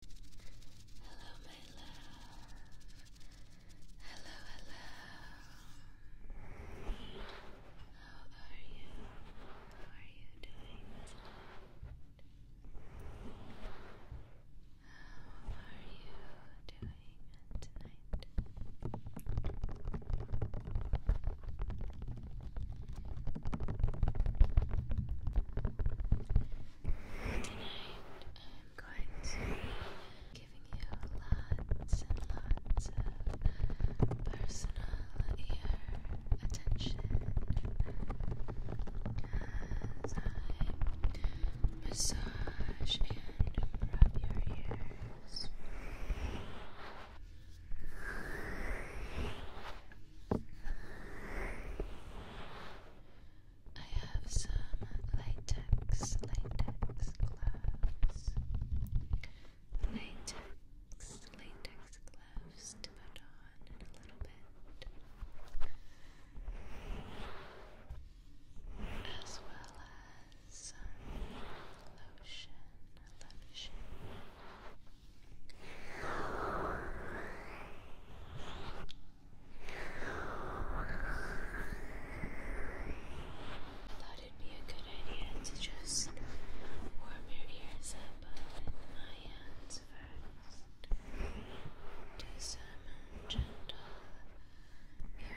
Hello, my love. Hello, hello. How are you? How are you doing this How are you doing tonight? Tonight I'm going to be giving you lots and lots of personal attention as I massage and rub your ears. I have some latex, latex gloves. Latex, latex gloves to put on in a little bit. As well as some lotion, lotion. I Thought it'd be a good idea to just warm your ears up uh, with my hands first. Do some gentle ear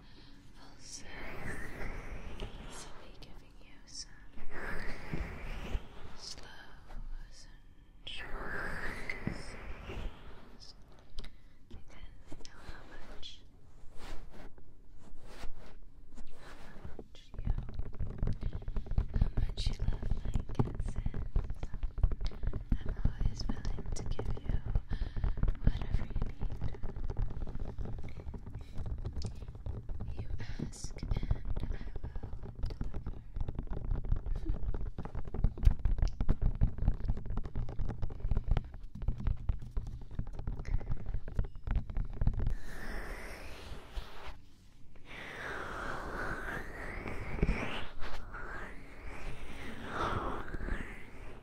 ulcers. So be giving you some slow and short because I know how much how much you how much you love my kisses. I'm always willing to give you whatever you need. You ask and I will deliver.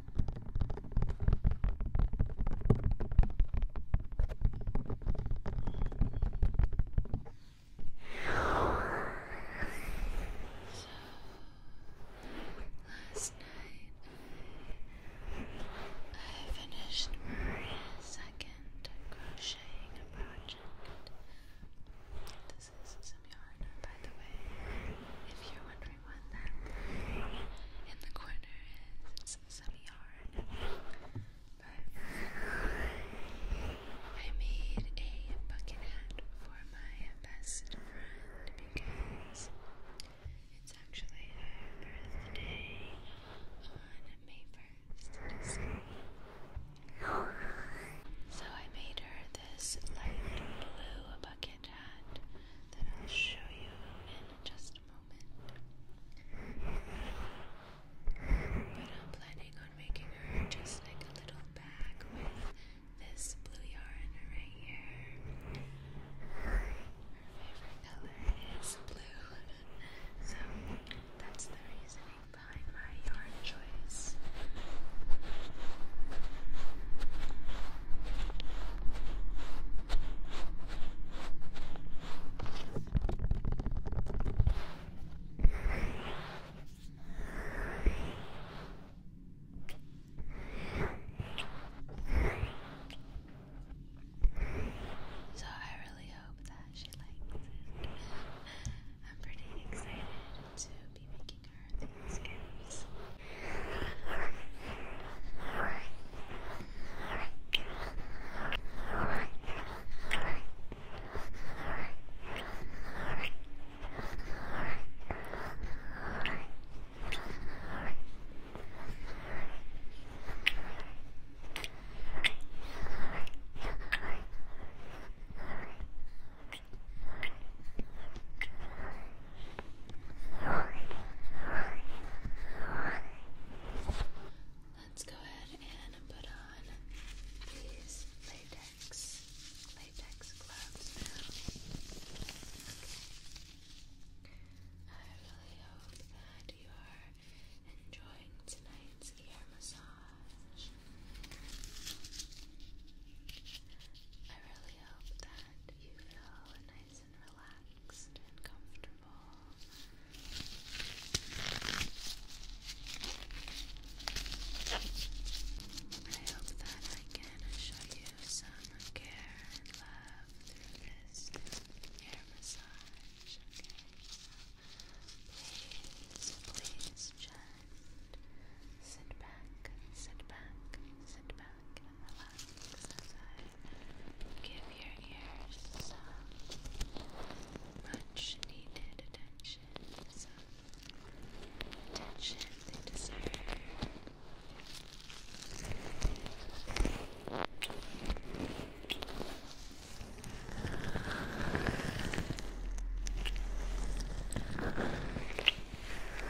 last night I finished my second crocheting project. This is some yarn, by the way, if you're wondering one in the corner is some I made a bucket hat for my best friend because it's actually her birthday on May 1st. so I made her this light blue bucket hat that I'll show you in just a moment. But I'm planning on making her just like a little bag with this blue yarn right here. Her favorite color is blue, so that's the reasoning behind my yarn choice. So I really hope that she likes it. I'm pretty excited to be making her skins. Right. Let's go ahead and put on these latex latex gloves now. I really hope that you are enjoying tonight's ear massage. I really hope that you feel nice nice and relaxed and comfortable. I hope that I can show you some care and love through this hair massage. Please, please just sit back, sit back, sit back and relax relax as give your ears much needed attention, attention they deserve.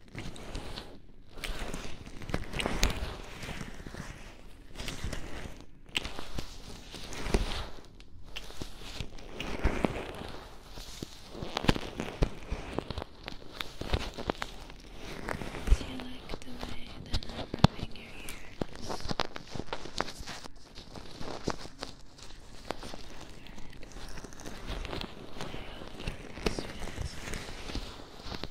Do you like the way that I'm rubbing your ears? Good. I hope this feels good.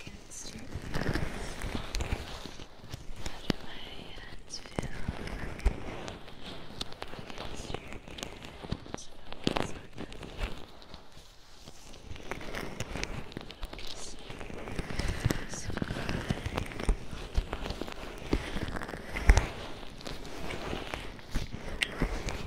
against you. How do my hands feel against your ears? Focus on them. Focus Focus on them.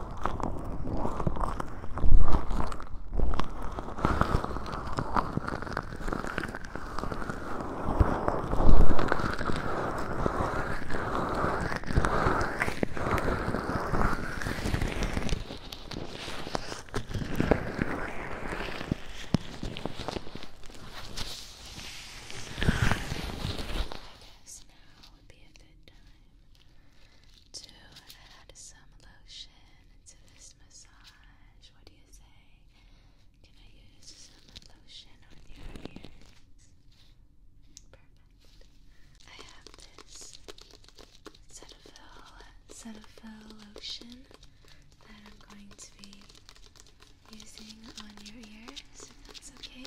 I guess now would be a good time to add some lotion to this massage. What do you say? Can I use some lotion on your ears? Perfect. I have this Cetaphil, Cetaphil lotion that I'm going to be using on your ears, if that's okay.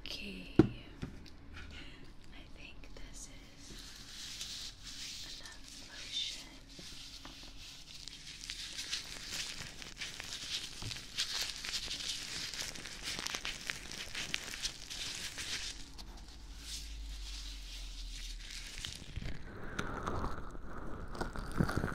Okay. I think this is enough lotion.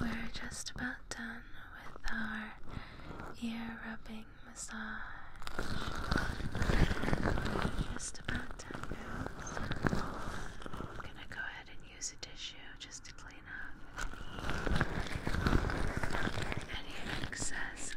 we're just about done with our ear rubbing massage. just about done gonna go ahead and use a tissue just to clean up any excess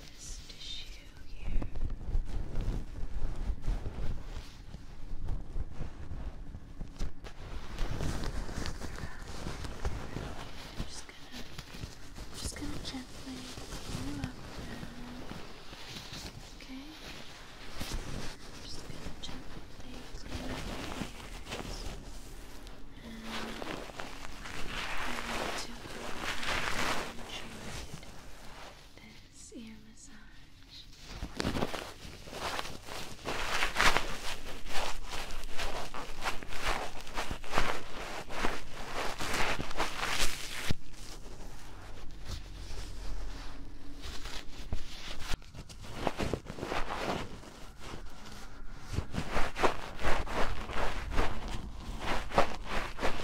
this tissue here. just gonna, just gonna gently pull you up Okay. just gonna gently clean up your And I need to uh, enjoy this ear massage. Now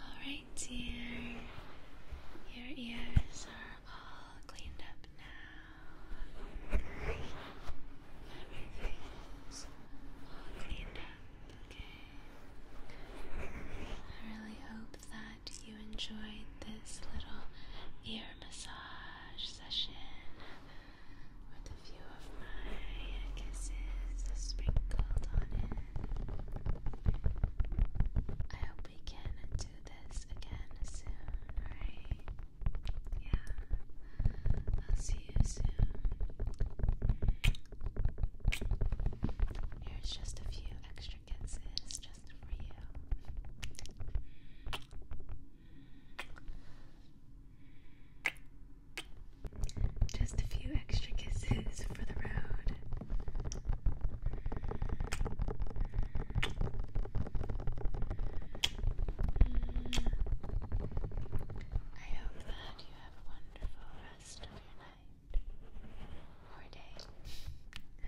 Alright, dear. Your ears are all cleaned up now. Everything's all cleaned up, okay? I really hope that you enjoyed this little ear massage session with a few of my kisses sprinkled on it. I hope we can do this again soon, alright? Yeah. I'll see you soon. Here's just a few extra kisses just for you. Just a few extra kisses for the road. Mm. I hope that you have a wonderful rest of your night or day.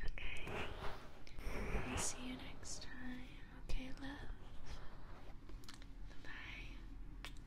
Okay. see you next time. Okay, love. bye.